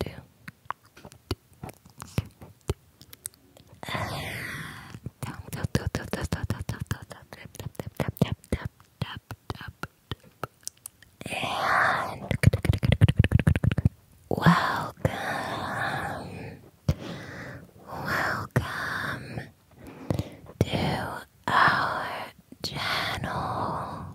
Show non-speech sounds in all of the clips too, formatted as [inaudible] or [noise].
two, welcome, welcome to our channel.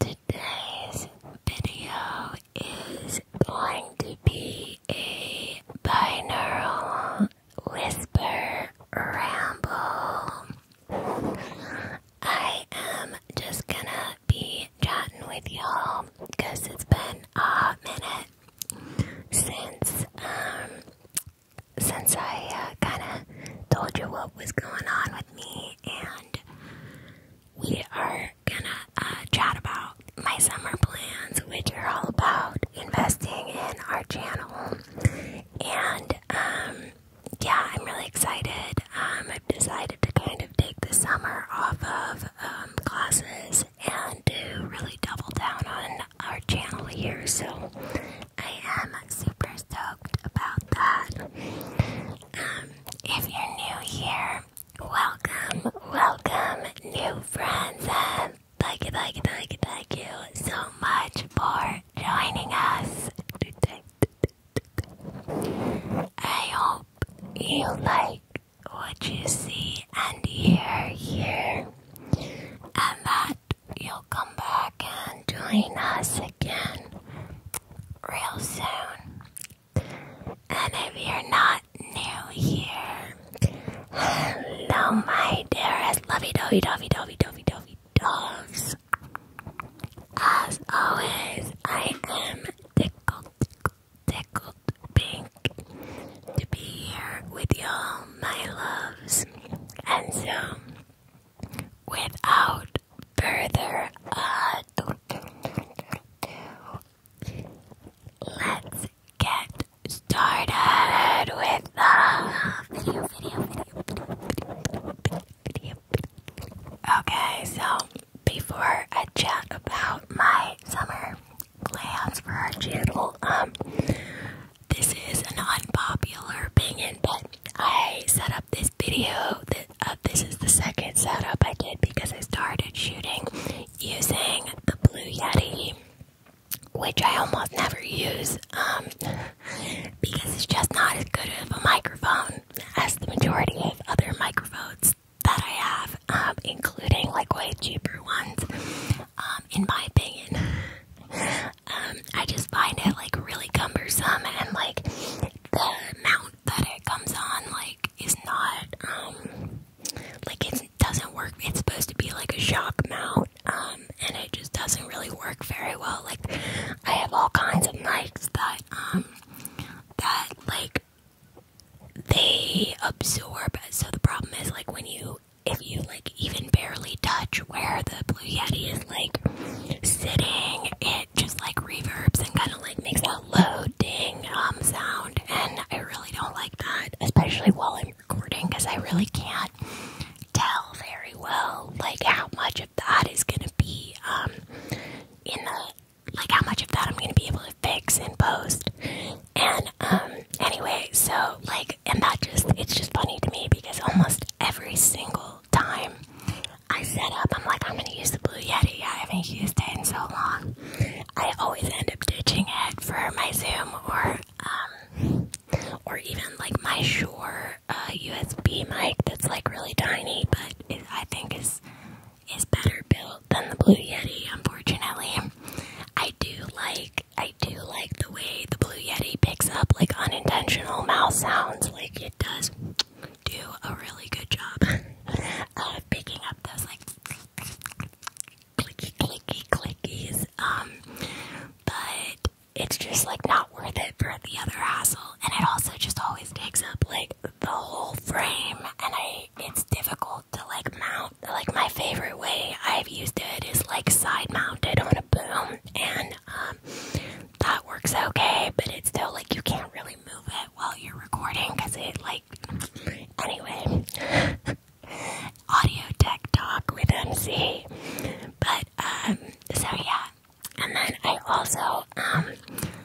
Today's video is going to be a binaural whisper ramble. I am just gonna be chatting with y'all because it's been a minute since um since I uh, kind of told you what was going on with me, and we are gonna uh, chat about my summer plans, which are all about investing in our channel. And um, yeah, I'm really excited. Um, I've decided to kind of take the summer off of um, classes and to really double down on our channel here. So I am super stoked about that. Um, if you're new here, welcome, welcome, new friends. Uh, thank you, thank you, thank you, thank you so much for joining us. I hope you like what you see and hear here, and that you'll come back and join us again real soon. And if you're not new here, hello, my dearest lovey dovey dovey dovey dovey dovey dogs. As always, I am tickled, tickled, tickled pink to be here with y'all, my loves. And so, without further ado, let's get started with the video, Okay, so before I chat about my summer plans for our channel, um, this is an unpopular opinion, but I set up this video, uh, this is the second setup I did because I started shooting using the Blue Yeti, which I almost never use um, because it's just not as good of a microphone as the majority of other microphones that I have, um, including like way cheaper ones, um, in my opinion. Um, I just find it like really cumbersome and like the amount that it comes on like is not um, like it doesn't work. It's supposed to be like a shock mount um, and it just doesn't really work very well. Like I have all kinds of mics that um that like they absorb so the problem is like when you if you like even barely touch where the Blue Yeti is like sitting, it just like reverbs and kind of like makes a low ding um sound, and I really don't like that, especially while I'm recording, because I really can't tell very well like how much of that is gonna be um in the like how much of that I'm gonna be able to fix and post. And um anyway, so like and that just it's just funny to me because almost every single time I set up, I'm like, I'm gonna use the Blue Yeti. I haven't used it in so long. I always end up ditching it for my Zoom or um or even like my Shure uh, USB mic that's like really tiny, but I think is is better built than the Blue Yeti. Unfortunately, I do like I do like the way the Blue Yeti picks up like unintentional mouse sounds. Like, it does do a really good job picking up those like clicky clicky clickies. Um, but it's just like not worth it for the other hassle, and it also just always takes up like the whole frame, and it's difficult to like mount. Like my favorite way I've used it is like side mounted on a boom, and um, that works okay, but it's still like you can't really move it while you're recording because it like anyway. [laughs] Audio tech talk with MC, but um, so yeah. And then I also, um,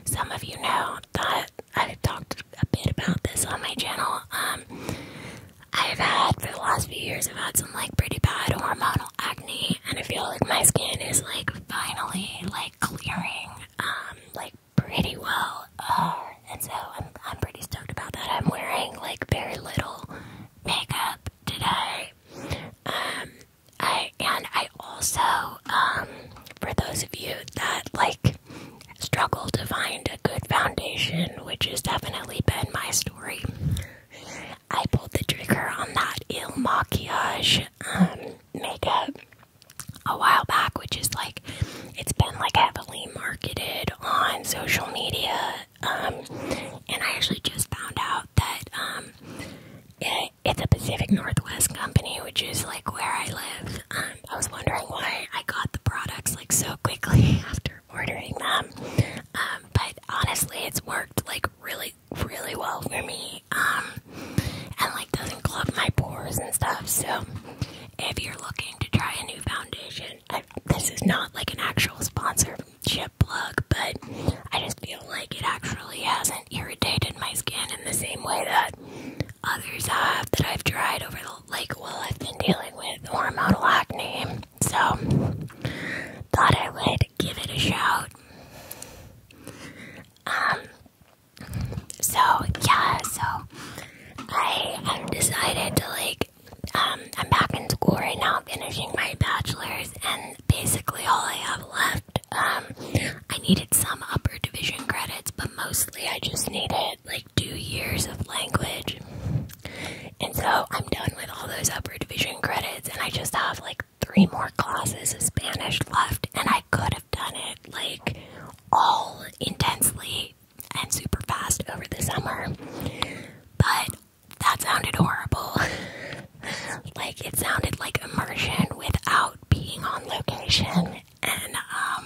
some of you know that I talked a bit about this on my channel. Um, I've had for the last few years, I've had some like pretty bad hormonal acne, and I feel like my skin is like finally like clearing um like pretty well uh, and so I'm I'm pretty stoked about that. I'm wearing like very little makeup today. Um I and I also um for those of you that like struggle to find a good foundation, which has definitely been my story. I pulled the trigger on that Il Maquillage um, makeup a while back, which is like it's been like heavily marketed on social media. Um, and I actually just found out that um, it's a Pacific Northwest company, which is like where I live. Um, I was wondering why I got the products like so quickly [laughs] after ordering them. but honestly, it's worked like really really well for me, um, and like doesn't clog my pores and stuff. So, if you're looking to try a new foundation, this is not like an actual sponsorship plug, but I just feel like it actually hasn't irritated my skin in the same way that others have that I've tried over the like while I've been dealing with hormonal acne. So, thought I would give it a shout. Um, so yeah, so I decided to like, um, I'm back in school right now, finishing my bachelor's, and basically all I have left, um, I needed some upper division credits, but mostly I just needed like two years of language. And so I'm done with all those upper division credits, and I just have like three more classes of Spanish left, and I could have done it like all intensely and super fast over the summer. But that sounded horrible. [laughs] like it sounded like immersion without being on location, and um,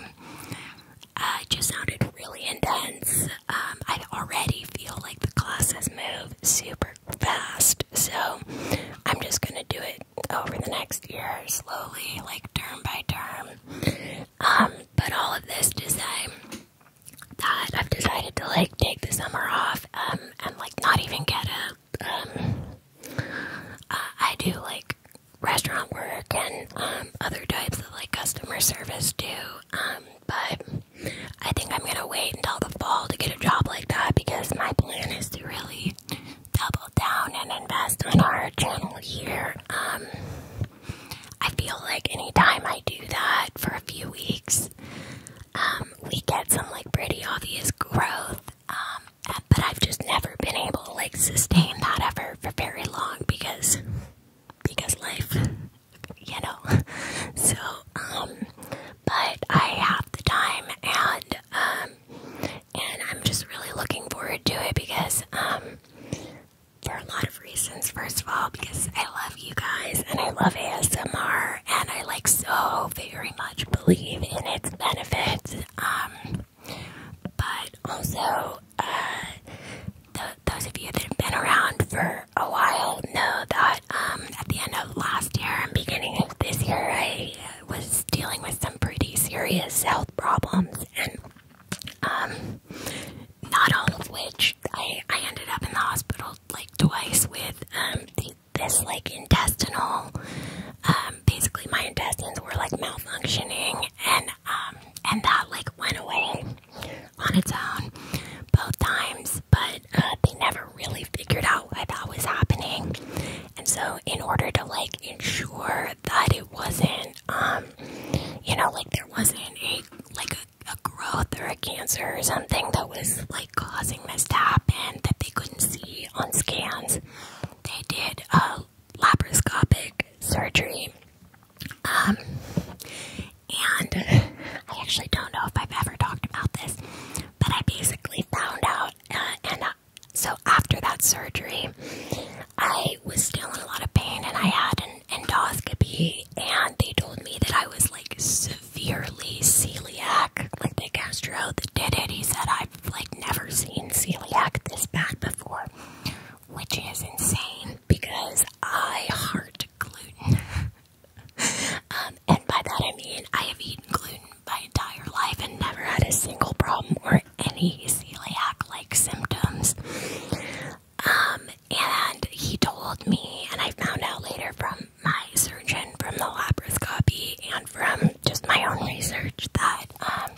uh, it just sounded really intense. Um, I already feel like the classes move super fast. So I'm just gonna do it over the next year slowly, like term by term. Um, but all of this to say that I've decided to like take the summer off, um, and like not even get a um, uh, do like restaurant work and other types of like customer service Do, but I think I'm gonna wait until the fall to get a job like that because my plan is to really double down and invest on our channel here. Um, I feel like any time I do that for a few weeks, um, we get some like pretty obvious growth. Um, but I've just never been able to like sustain that effort for very long because because life, you know. [laughs] So, um, but I have the time and um, and I'm just really looking forward to it because, um, for a lot of reasons. First of all, because I love you guys and I love ASMR and I like so very much believe in its benefits. Um, but also, uh, those of you that have been around for a while know that um, at the end of last year and beginning of this year, I was dealing with some pretty serious health problems, and um, not all of which I ended up in the hospital like twice with um, this like intestinal um, basically my intestines were like malfunctioning and and that like went away on its own both times, but uh, they never really figured out what that was happening. And so, in order to like ensure that it wasn't, um, you know, like there wasn't a like a, growth or a cancer or something that was like causing this to happen that they couldn't see on scans, they did a laparoscopic surgery. Um, and I actually don't know if I've ever talked about this, but I basically found out uh, and uh, so after that surgery, I was still in a lot of pain, and I had an endoscopy, and they told me that I was like severely celiac. Like the gastro that did it, he said I've like never seen celiac this bad before, which is insane because I heart gluten. [laughs] Um, and by that I mean I have eaten gluten my entire life and never had a single problem or any celiac like symptoms. Um, and he told me, and I found out later from my surgeon, from the laparoscopy, and from just my own research that um,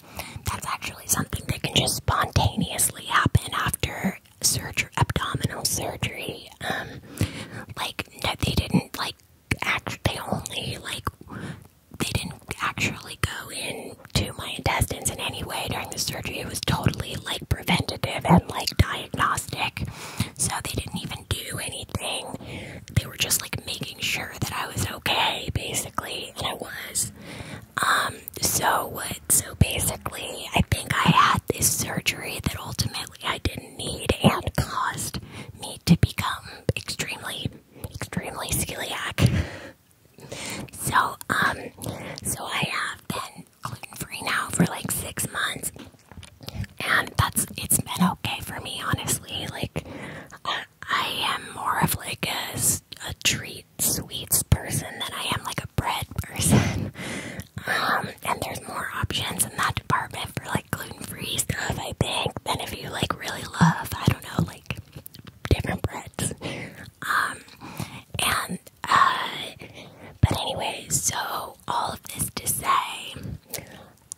that's actually something that can just spontaneously happen after surgery, abdominal surgery. Um, like, no, they didn't like act they only like they didn't actually go into my intestines in any way during the surgery. It was totally like preventative and like diagnostic. So they didn't even do anything. They were just like making sure that I was okay, basically, and I was. Um, so what so basically I think I had this surgery that ultimately I didn't need and caused me to become extremely, extremely celiac. so, um, so I have been gluten free now for like six months, and that's it's been okay for me, honestly. Like, I, I am more of like a, a treat sweets person than I am like a bread person. Um, and there's more options in that department for like gluten free stuff, I think, than if you like really love, I don't know, like different breads. Um, and uh, but anyway, so all of this to say,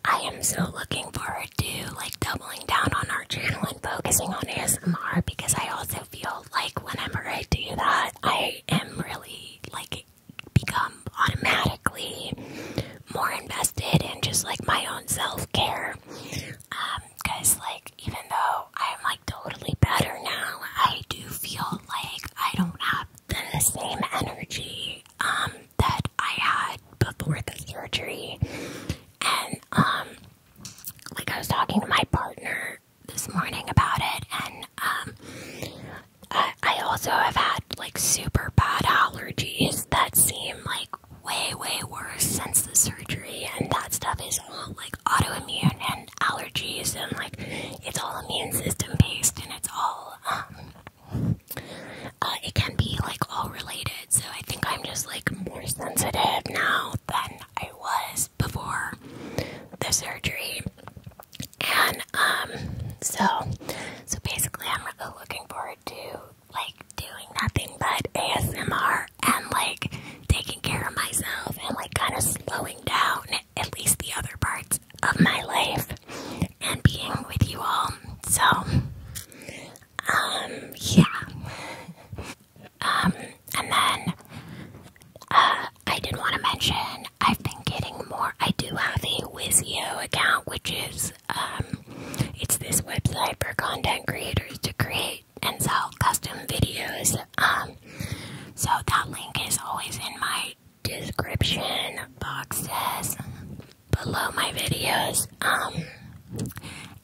I am so looking forward to like doubling down on our channel and focusing on ASMR because I also feel like whenever I do that, I am really like become automatically more invested in just like my own self care. Um, cause like even though I'm like totally better now, I do feel like I don't have the same energy um, that I had before the surgery. And um like I was talking to my partner this morning about it and um I also have had like super bad allergies that seem like like way, way worse since the surgery, and that stuff is all like autoimmune and allergies, and like it's all immune system based, and it's all um, uh, it can be like all related. So I think I'm just like more sensitive now than I was before the surgery, and um, so so basically I'm really looking forward forward to like doing nothing but ASMR and like taking care of myself and like kind of slowing down at least the other parts of my life and being with you all. So, um, yeah. Um, and then uh, I did want to mention I've been getting more. I do have a Wizio account, which is um, it's this website for content creators to create and sell custom videos. Um, so that link is always in my description boxes below my videos. Um,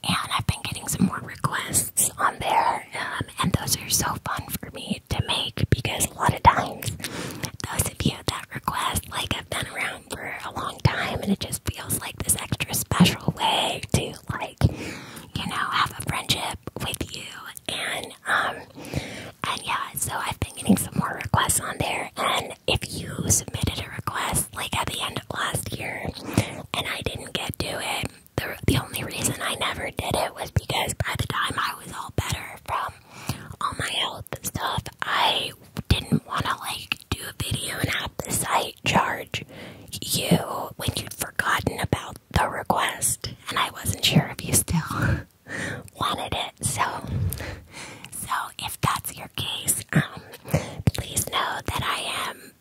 and I've been getting some more requests on there, um, and those are so fun for me to make because a lot of times those of you that request like I've been around on for a long time and it just feels like this extra special way to like you know have a friendship with you and um and yeah so I've been getting some more requests on there and if you submitted a request like at the end of last year and I didn't get to it the, the only reason I never did it was because by the time I was all better from all my health stuff I didn't want to like do a video and have the site charge you when you'd forgotten about the request, and I wasn't sure if you still [laughs] wanted it. So, so if that's your case, um, please know that I am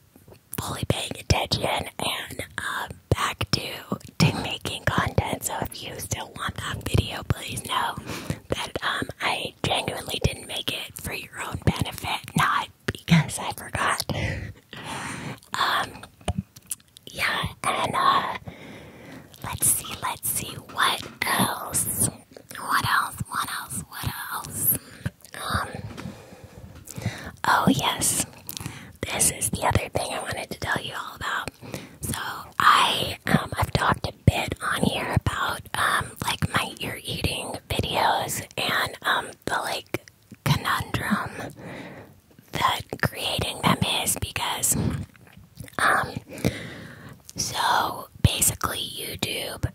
fully paying attention and uh, back to to making content. So if you still want that video, please know that um I genuinely didn't make it for your own benefit, not because I forgot. [laughs] um yeah, and uh let's see, let's see what else. What else? What else? What else? Um Oh yes. This is the other thing I wanted to tell you all about. So I um I've talked Bit on here about um like my ear eating videos and um the like conundrum that creating them is because um so basically YouTube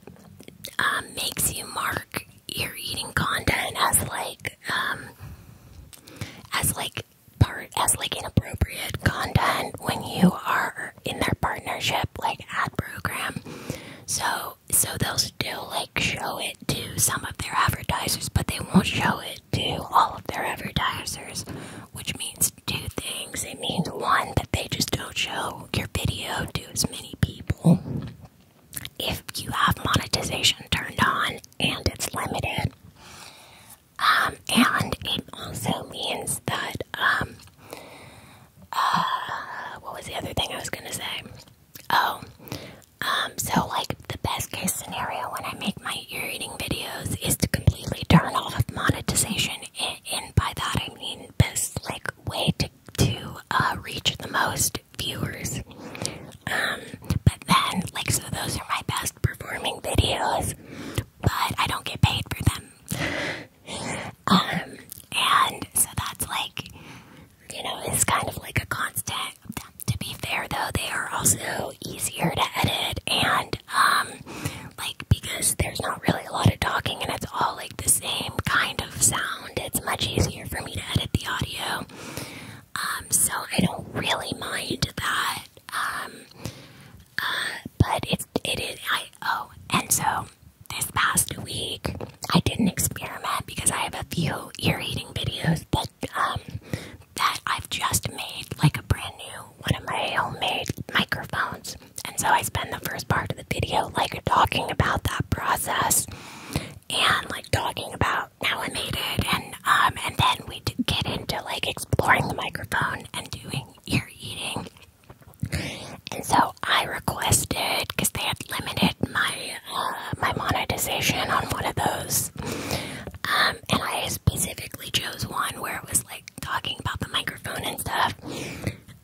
um makes you mark ear eating content as like um as like part as like inappropriate content when you are in their partnership like ad program. So so they'll still like show it to some of their advertisers, but they won't show it to all of their advertisers, which means two things. It means one that they just don't show your video to as many people if you have monetization turned on and it's limited. Um, and it also means that um, uh, what was the other thing I was gonna say? Oh, um, so like the best case scenario when I make my ear eating videos is to completely turn off monetization, and, by that I mean best like way to to uh, reach the most viewers. Um, but then like so those are my best performing videos, but I don't get paid for them. Um, and so that's like, you know, it's kind of like a constant. To be fair, though, they are also easier to edit and, um, like, because there's not really a lot of talking and it's all like the same kind of sound, it's much easier for me to edit the audio. Um, so I don't really mind that. Um, uh, but it's, it is, I, oh, and so this past week, I did not experiment because I have a few ear eating videos but um that I've just made like a brand new one of my homemade microphones. And so I spend the first part of the video like talking about that process and like talking about how I made it and um and then we get into like exploring the microphone and doing ear eating and so I requested because they had limited my uh, my monetization on one of those, um, and I specifically chose one where it was like talking about the microphone and stuff.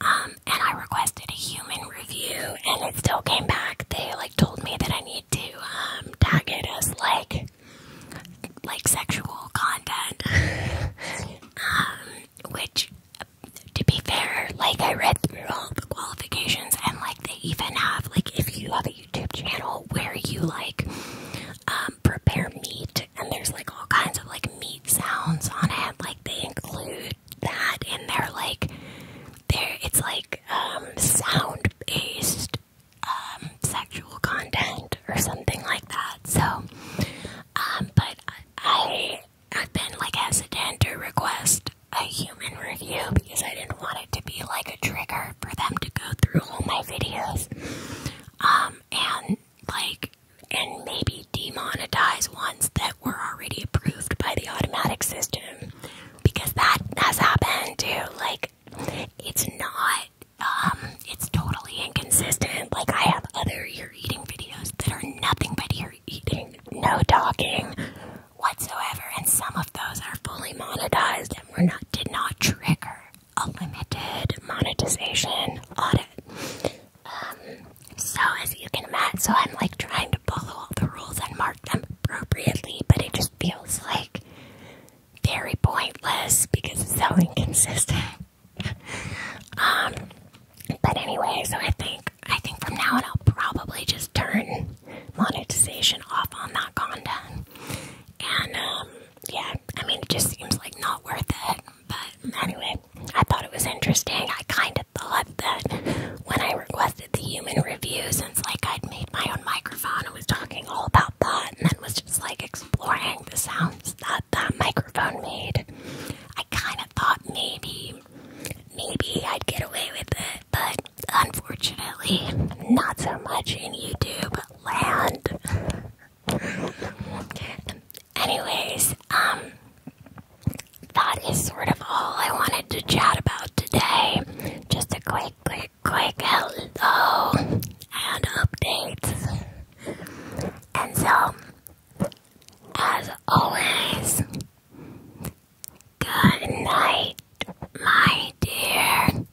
Um, and I requested a human review, and it still came back. They like told me that I need to um, tag it as like like sexual content, [laughs] which to be fair, like I read through all the qualifications and like they even have like if you have a YouTube channel where you like um, prepare meat and there's like all kinds of like meat sounds on it, like they include that in there, like there it's like um, sound based um, sexual content or something like that. So um but I I've been like hesitant to request a human review because I didn't want it to be like a trigger for them to go through all my videos. Um, and like, and maybe demonetize ones that were already approved by the automatic system because that has happened too. Like, it's not, um, it's totally inconsistent. Like, I have other ear eating videos that are nothing but ear eating, no talking whatsoever, and some of those are fully monetized and were not did not trigger a limited monetization audit. Um, so as you can imagine, so I'm like trying to follow all the rules and mark them appropriately, but it just feels like very pointless because it's so inconsistent. [laughs] Um, but anyway, so I think I think from now on I'll probably just turn monetization off on that content. And um, yeah, I mean it just seems like not worth it. But anyway, I thought it was interesting. I kind of thought that when I requested the human review, since like I'd made my own microphone and was talking all about that, and then was just like exploring the sounds that that microphone made, I kind of thought maybe maybe I'd get away with it, but unfortunately, not so much in YouTube land. Anyways, um, that is sort of all I wanted to chat about today. Just a quick, quick, quick hello and updates. And so, as always, good night, my dear.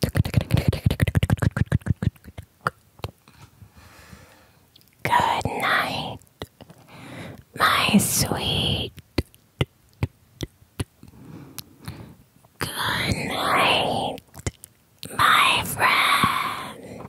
Good night, my sweet. Good night, my friend.